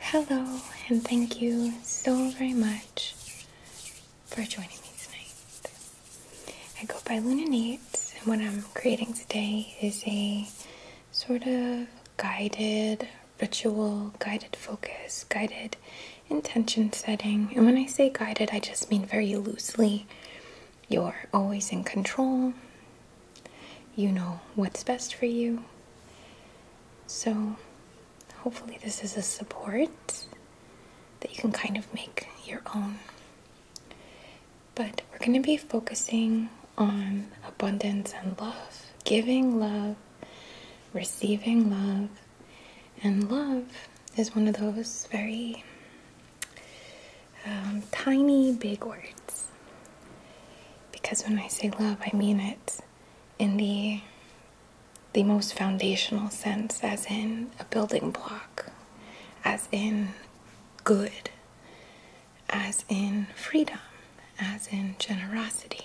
Hello, and thank you so very much for joining me tonight. I go by Luna Nates, and what I'm creating today is a sort of guided ritual, guided focus, guided intention setting. And when I say guided, I just mean very loosely. You're always in control, you know what's best for you. So, hopefully, this is a support that you can kind of make your own. But we're going to be focusing on abundance and love, giving love, receiving love, and love is one of those very um, tiny, big words. Because when I say love, I mean it in the the most foundational sense, as in a building block, as in good, as in freedom, as in generosity,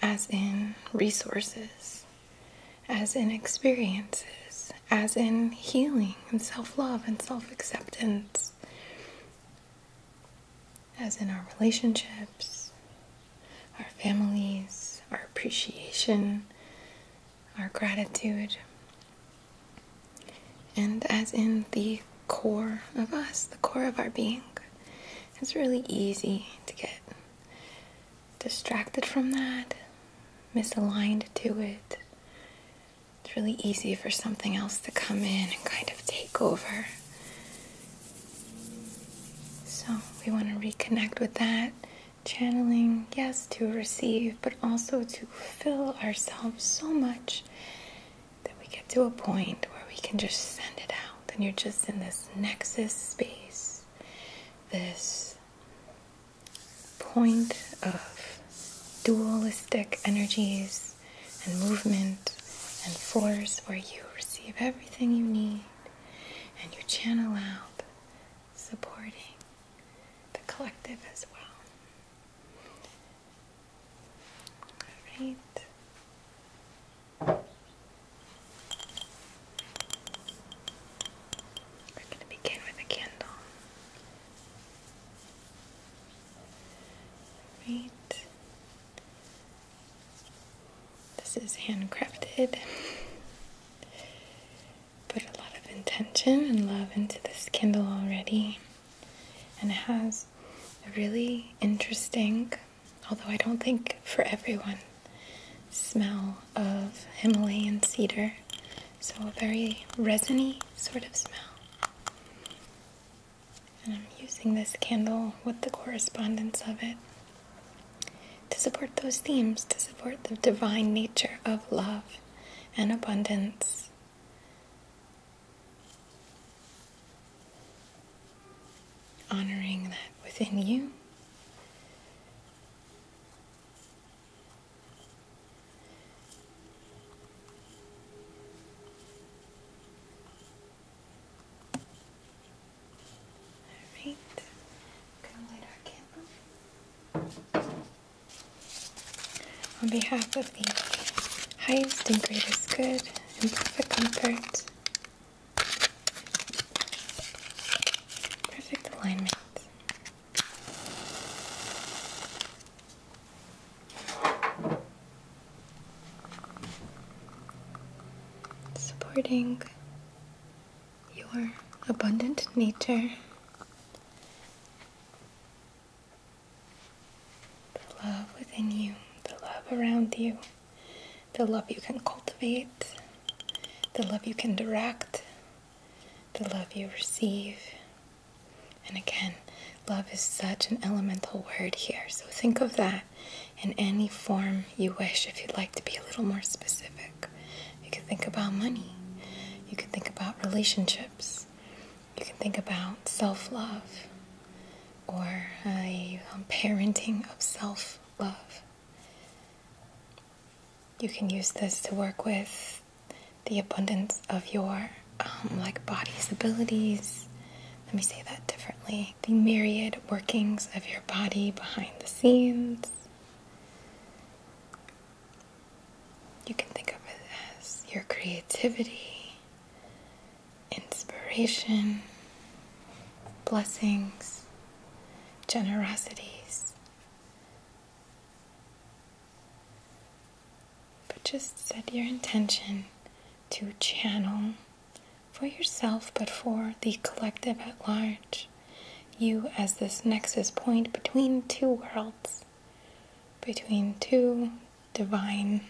as in resources, as in experiences, as in healing and self love and self acceptance, as in our relationships, our families, our appreciation, our gratitude, and as in the core of us, the core of our being. It's really easy to get distracted from that, misaligned to it, it's really easy for something else to come in and kind of take over. So we want to reconnect with that, channeling, yes, to receive, but also to fill ourselves so much that we get to a point where we can just send it out and you're just in this nexus space this point of dualistic energies and movement and force where you receive everything you need and you channel out supporting the collective as well. All right. We're going to begin with a candle. Right. This is handcrafted. Put a lot of intention and love into this candle already, and it has a really interesting although I don't think for everyone, smell of Himalayan cedar. So a very resiny sort of smell. And I'm using this candle with the correspondence of it to support those themes, to support the divine nature of love and abundance honoring that within you. alright On behalf of the highest and greatest good and perfect comfort, Perfect alignment. Supporting your abundant nature, the love within you, the love around you the love you can cultivate, the love you can direct, the love you receive. And again, love is such an elemental word here. So think of that in any form you wish if you'd like to be a little more specific. You could think about money, you could think about relationships, you can think about self love or a um, parenting of self love. You can use this to work with the abundance of your um, like body's abilities. Let me say that differently. The myriad workings of your body behind the scenes. You can think of it as your creativity, inspiration, blessings, generosities. But just set your intention to channel for yourself, but for the collective at large. You as this nexus point between two worlds, between two divine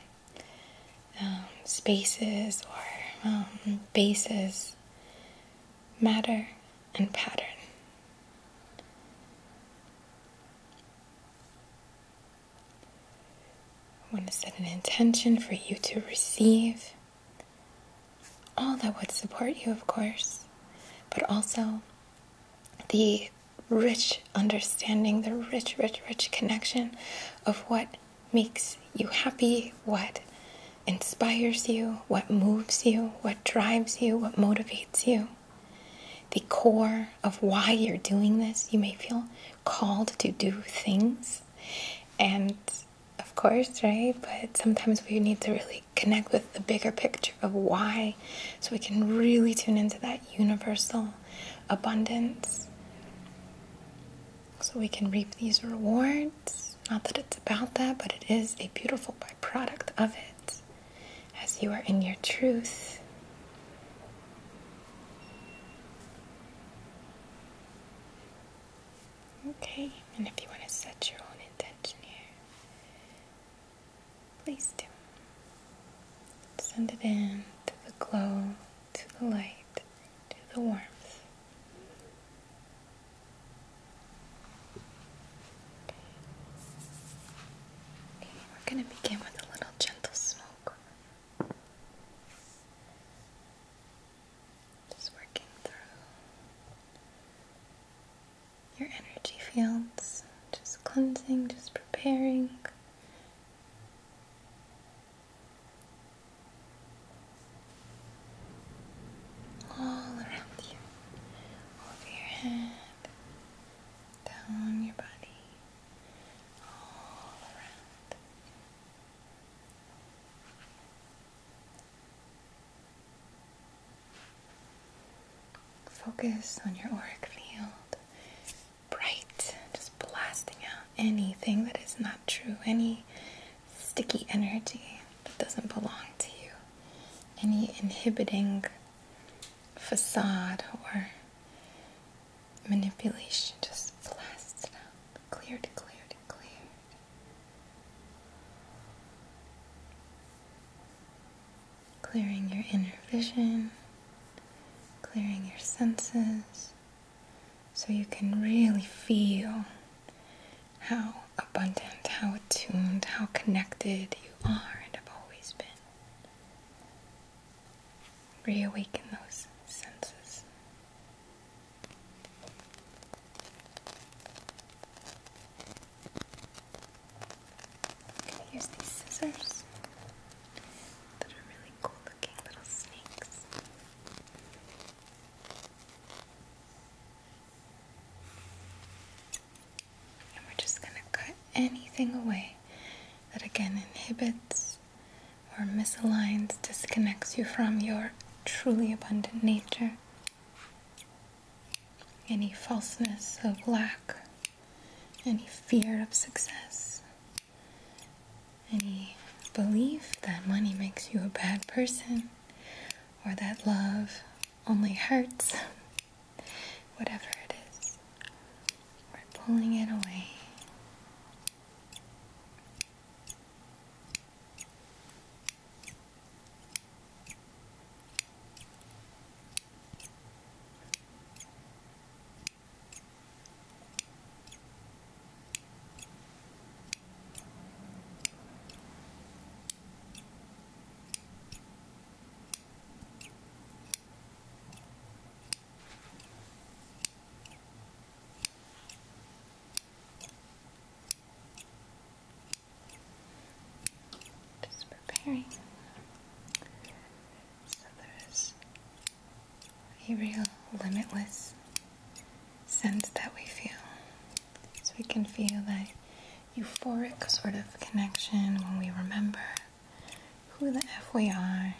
um, spaces or um, bases, matter and pattern. I want to set an intention for you to receive all that would support you, of course, but also the rich understanding, the rich, rich, rich connection of what makes you happy, what inspires you, what moves you, what drives you, what motivates you. The core of why you're doing this, you may feel called to do things. And of course, right? But sometimes we need to really connect with the bigger picture of why so we can really tune into that universal abundance so we can reap these rewards. Not that it's about that, but it is a beautiful byproduct of it as you are in your truth. Okay, and if you want to set your own intention here, please do. Send it in to the glow to the light, to the warmth. we're going to begin with a little gentle smoke. Just working through your energy fields, just cleansing, just preparing all around you, over your head, down your body, all around. Focus on your auric field bright, just blasting out anything that is not true, any sticky energy that doesn't belong to you, any inhibiting facade or manipulation. Just blast it out, cleared, cleared, cleared. Clearing your inner vision, clearing your senses so you can really feel how abundant, how attuned, how connected you are and have always been. Reawaken those senses. i use these scissors that are really cool little snakes. And we're just going to cut anything away that again inhibits or misaligns, disconnects you from your truly abundant nature. Any falseness of lack, any fear of success, any belief that money makes you a bad person or that love only hurts, whatever it is, we're pulling it away. Just preparing. So there's a real limitless sense that we feel. So we can feel that euphoric sort of connection when we remember who the F we are.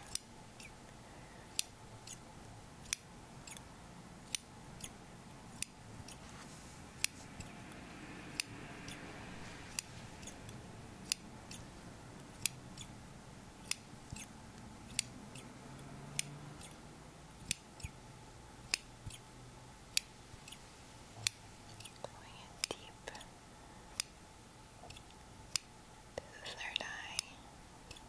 Going in deep to the third eye. Good.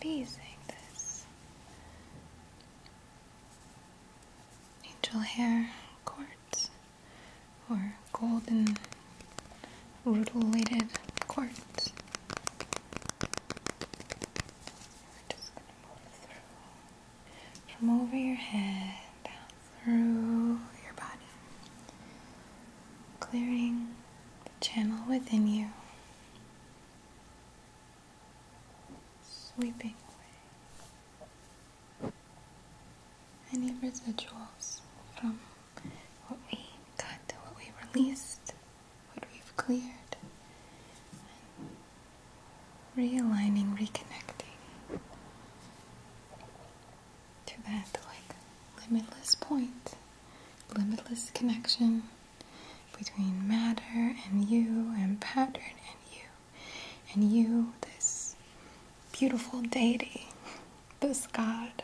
Be using this angel hair quartz or golden rutilated quartz. We're just going to move through from over your head down through your body, clearing the channel within you sweeping away any residuals from what we cut, what we released, what we've cleared, realigning, reconnecting to that like limitless point, limitless connection between matter and you and pattern and you and you this beautiful deity this god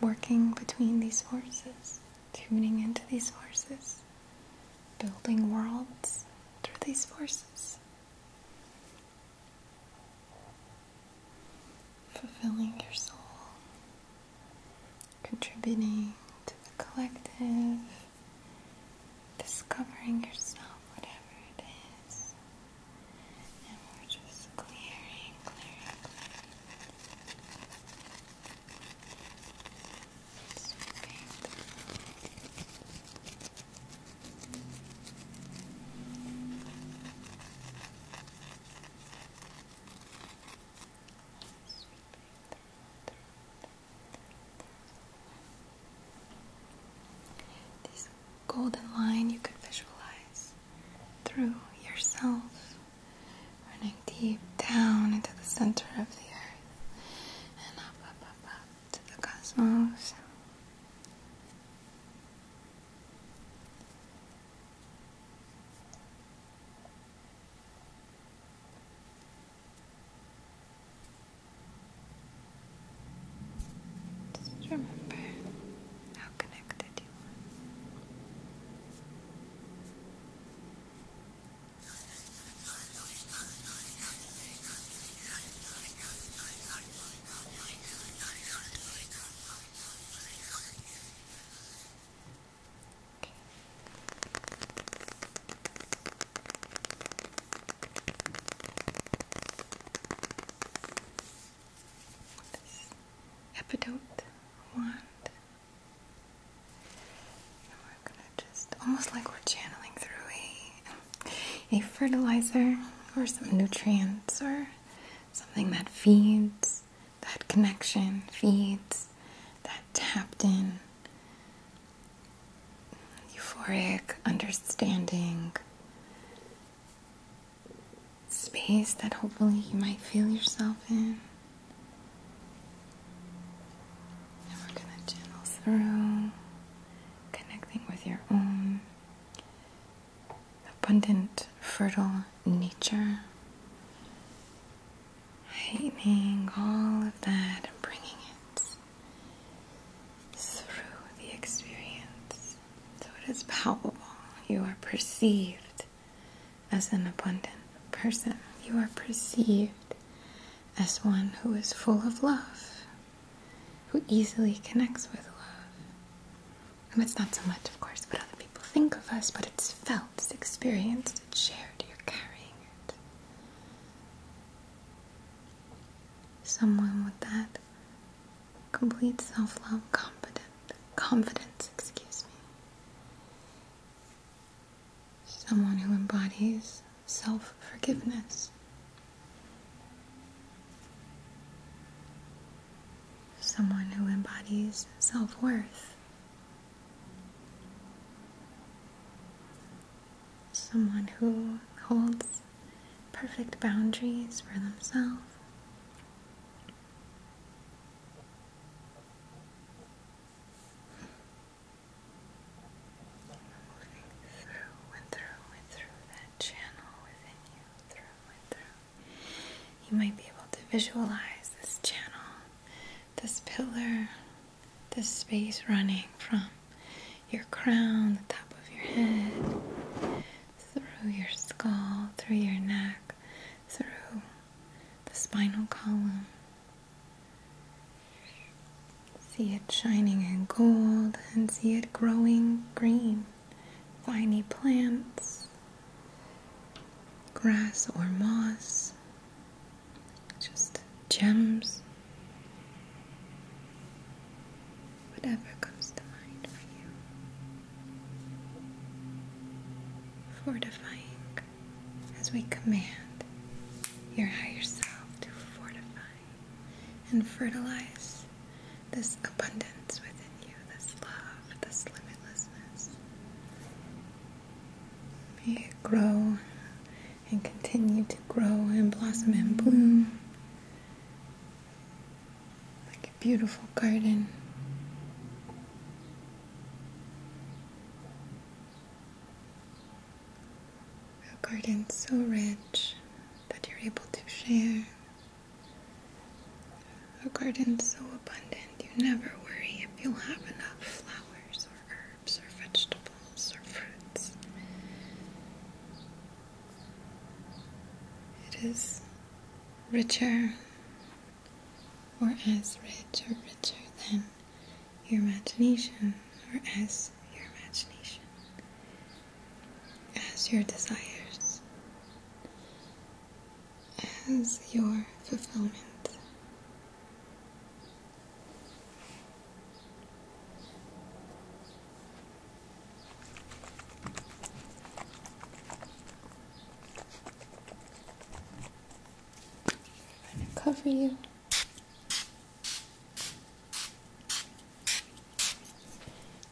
working between these forces tuning into these forces building worlds through these forces fulfilling your soul, contributing to the collective, discovering yourself, whatever it is. And we're just clearing, clearing, clearing. Sweeping through. This golden line you could visualize through yourself, running deep down into the center of the earth and up, up, up, up to the cosmos. Just remember how connected you are epidote wand. we're gonna just almost like we're channeling through a a fertilizer or some nutrients or something that feeds that connection feeds that tapped in euphoric understanding space that hopefully you might feel yourself in. And we're going to channel through, connecting with your own abundant, fertile nature. Heightening all of that and bringing it through the experience. So it is palpable. You are perceived as an abundant person. You are perceived as one who is full of love, who easily connects with love. And it's not so much, of course, what other people think of us, but it's felt, it's experienced, it's shared, you're carrying it. Someone with that complete self-love, confident, confidence, excuse me. Someone who embodies self-forgiveness someone who embodies self worth, someone who holds perfect boundaries for themselves. Moving through and through and through that channel within you, through and through. You might be able to visualize this channel, this pillar, this space running from your crown, the top of your head, through your skull, through your neck, through the spinal column. See it shining in gold and see it growing green viney plants, grass or moss, just gems, whatever comes to mind for you. Fortifying as we command your higher self to fortify and fertilize this abundance within you, this love, this limitlessness. May it grow and continue to grow and blossom and bloom like a beautiful garden. A garden so rich that you're able to share a garden so abundant you never worry if you'll have enough flowers or herbs or vegetables or fruits. It is richer or as rich or richer than your imagination or as your imagination, as your desires as your fulfillment. I'm going to cover you.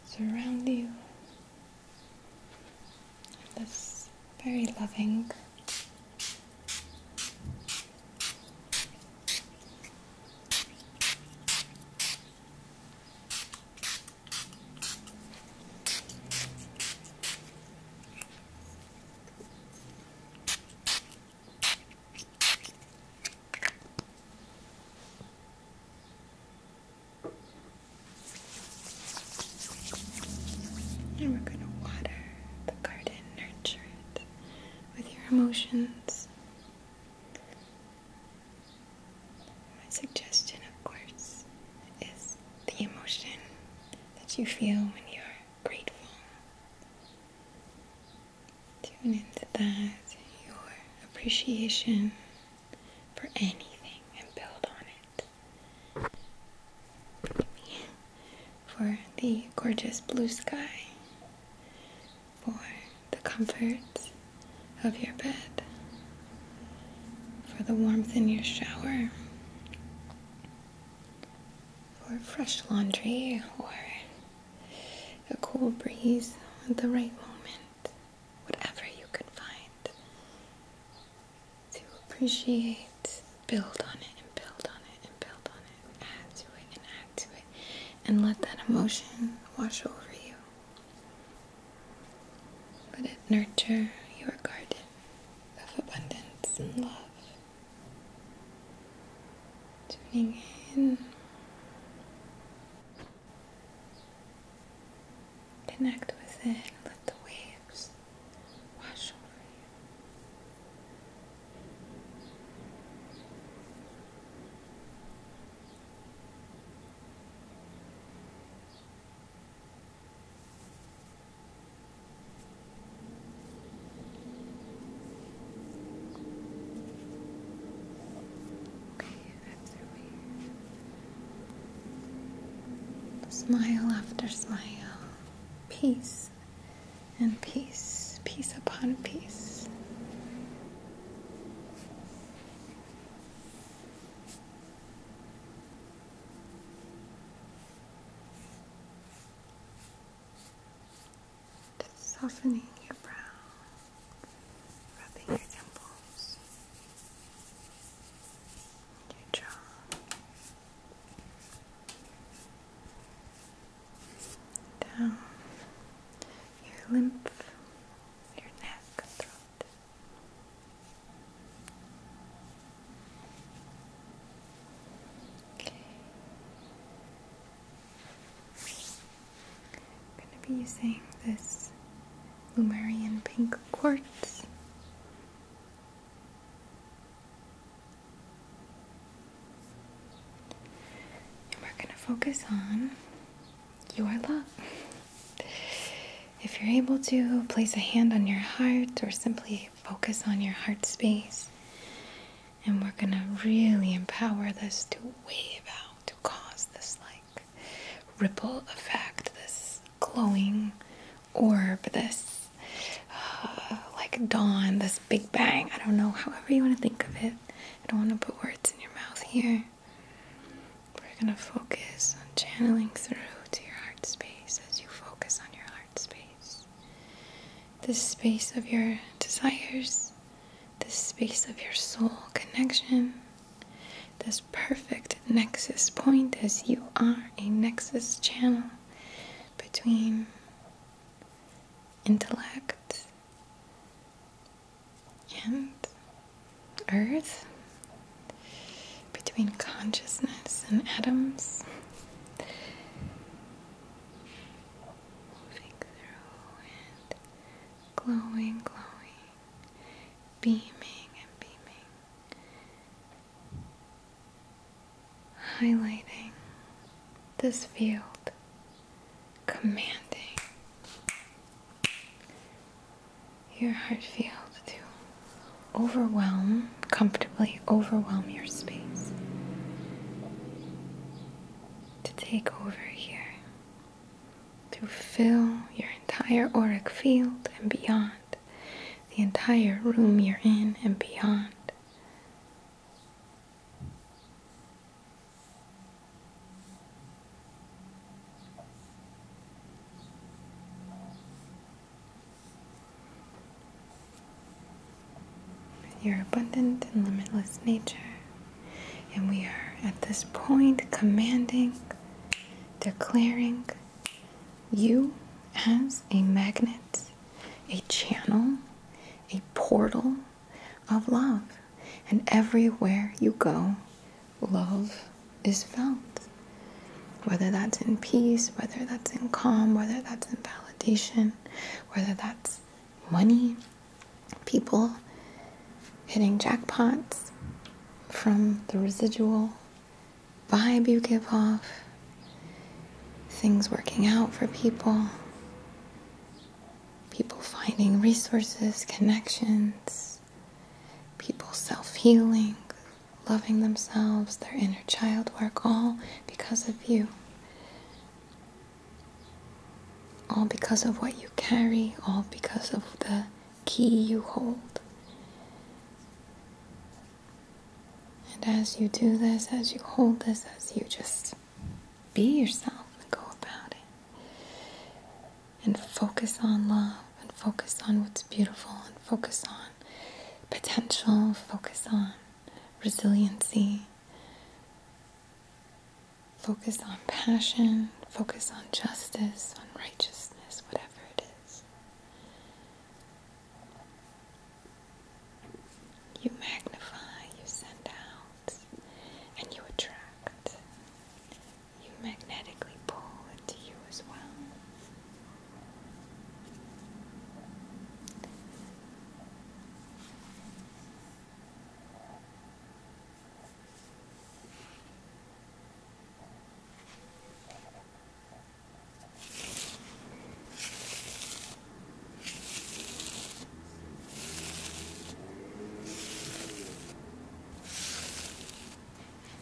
Surround you this very loving and we're going to water the garden, nurture it with your emotions. My suggestion, of course, is the emotion that you feel when you're grateful. Tune into that, your appreciation for anything and build on it. For the gorgeous blue sky, for the comforts of your bed, for the warmth in your shower, for fresh laundry or a cool breeze at the right moment whatever you can find, to appreciate, build on it, and build on it, and build on it, and add to it, and add to it, and let that emotion wash over you. Let it nurture your garden of abundance and love. Tuning in Connect with it let the waves wash over you. Okay, Smile after smile. Peace and peace. Peace upon peace. softening your brow rubbing your temples, your jaw. Down your lymph, your neck, Okay. I'm going to be using this Lumerian Pink Quartz. And we're going to focus on your love. If you're able to, place a hand on your heart or simply focus on your heart space. And we're going to really empower this to wave out to cause this like ripple effect, this glowing orb, this uh, like dawn, this big bang. I don't know, however you want to think of it. I don't want to put words in your mouth here. We're going to focus on channeling through to your heart space as you focus on your heart space. the space of your desires, this space of your soul connection, this perfect nexus point, as you are a nexus channel between intellect and earth, between consciousness and atoms glowing, glowing, beaming and beaming, highlighting this field, commanding your heart field to overwhelm, comfortably overwhelm your space, to take over here to fill your entire auric field and beyond, the entire room you're in and beyond. Your abundant and limitless nature. And we are at this point commanding, declaring you as a magnet, a channel, a portal of love. And everywhere you go, love is felt. Whether that's in peace, whether that's in calm, whether that's in validation, whether that's money, people hitting jackpots from the residual vibe you give off, things working out for people, people finding resources, connections, people self healing, loving themselves, their inner child work, all because of you all because of what you carry, all because of the key you hold. And as you do this, as you hold this, as you just be yourself and go about it, and focus on love, and focus on what's beautiful, and focus on potential, focus on resiliency. Focus on passion, focus on justice, on righteousness, whatever it is. You magnify, you send out, and you attract. You magnetically pull into you as well.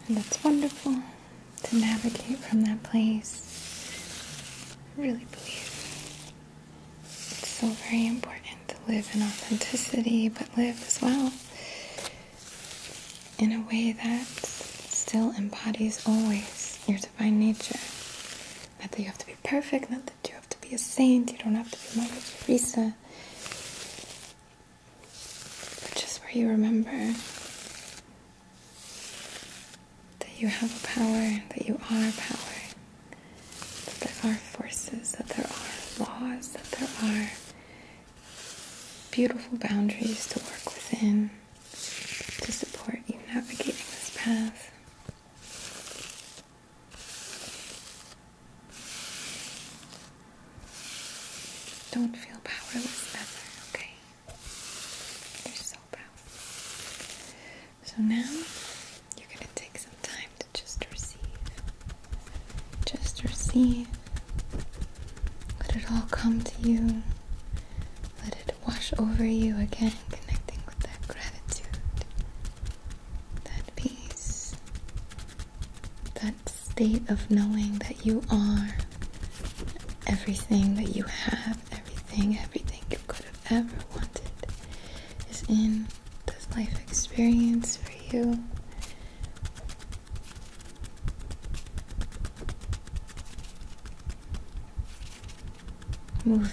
And that's wonderful to navigate from that place. really believe it's so very important to live in authenticity, but live as well in a way that still embodies always your divine nature. Not that you have to be perfect, not that you have to be a saint, you don't have to be Mother Teresa. just where you remember that you have a power, that you are power, that there are forces, that there are laws, that there are beautiful boundaries to work within to support you navigating this path. Don't feel powerless ever, okay? You're so powerful. So now you're going to take some time to just receive. Just receive. Let it all come to you. Let it wash over you again, connecting with that gratitude, that peace, that state of knowing that you are everything that you have, everything, everything you could ever wanted is in this life experience for you. Moving,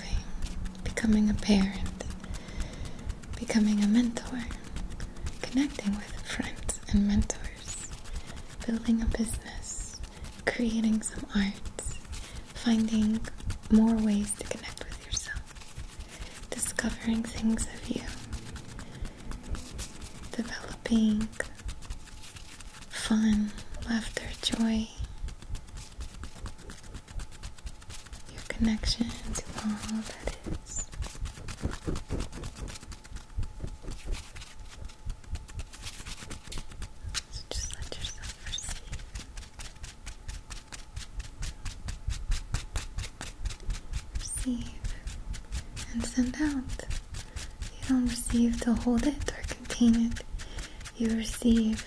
becoming a parent, becoming a mentor, connecting with friends and mentors, building a business, creating some art, finding more ways to connect with yourself, discovering things of you, developing fun, laughter, joy, your connection to all that is. So just let yourself receive. Receive and send out. You don't receive to hold it or contain it. You receive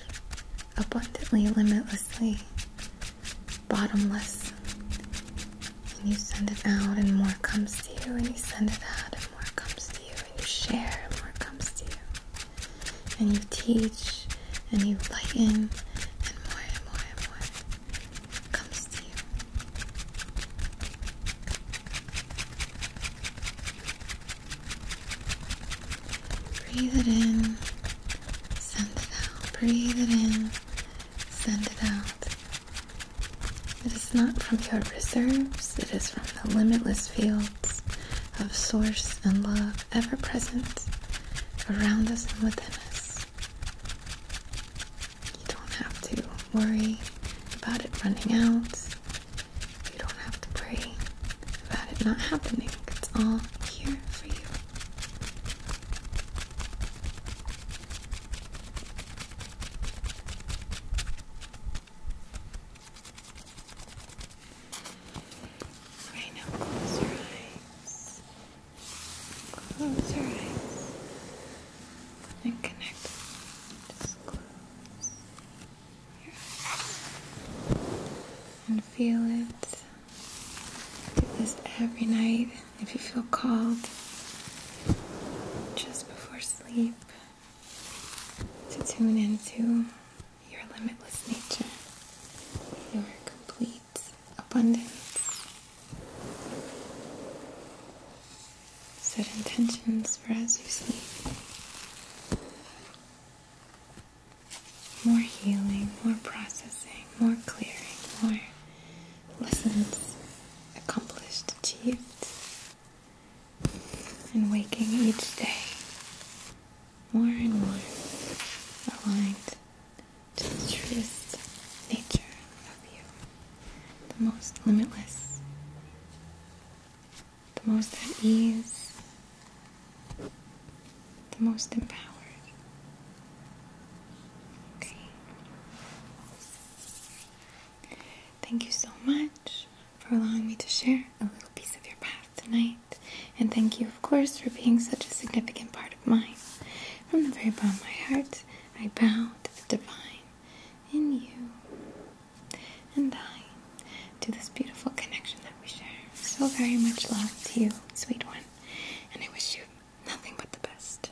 abundantly, limitlessly, bottomless. And you send it out, and more comes to you, and you send it out, and more comes to you, and you share, and more comes to you and you teach and you lighten and more and more and more comes to you. Breathe it in, send it out. Breathe it in, send it out. It is not from your reserves, it is from the limitless fields of source and love ever present around us and within us. You don't have to worry about it running out. You don't have to pray about it not happening. It's all here for you. Right now, close your eyes. Close your eyes. And connect. Just close your eyes. And feel it. Do this every night if you feel called. Just before sleep. To tune into your limitless nature, your complete abundance. Set intentions for as you sleep. More healing, more processing, more clearing, more lessons accomplished, achieved, and waking each day more and more aligned to the truest nature of you, the most limitless, the most at ease, the most empowered. Okay. Thank you so much for allowing me to share a little piece of your path tonight. And thank you, of course, for being such a significant part of mine. From the very bottom of my heart, I bow to the divine in you and I to this beautiful connection that we share. So very much love to you, sweet one. And I wish you nothing but the best.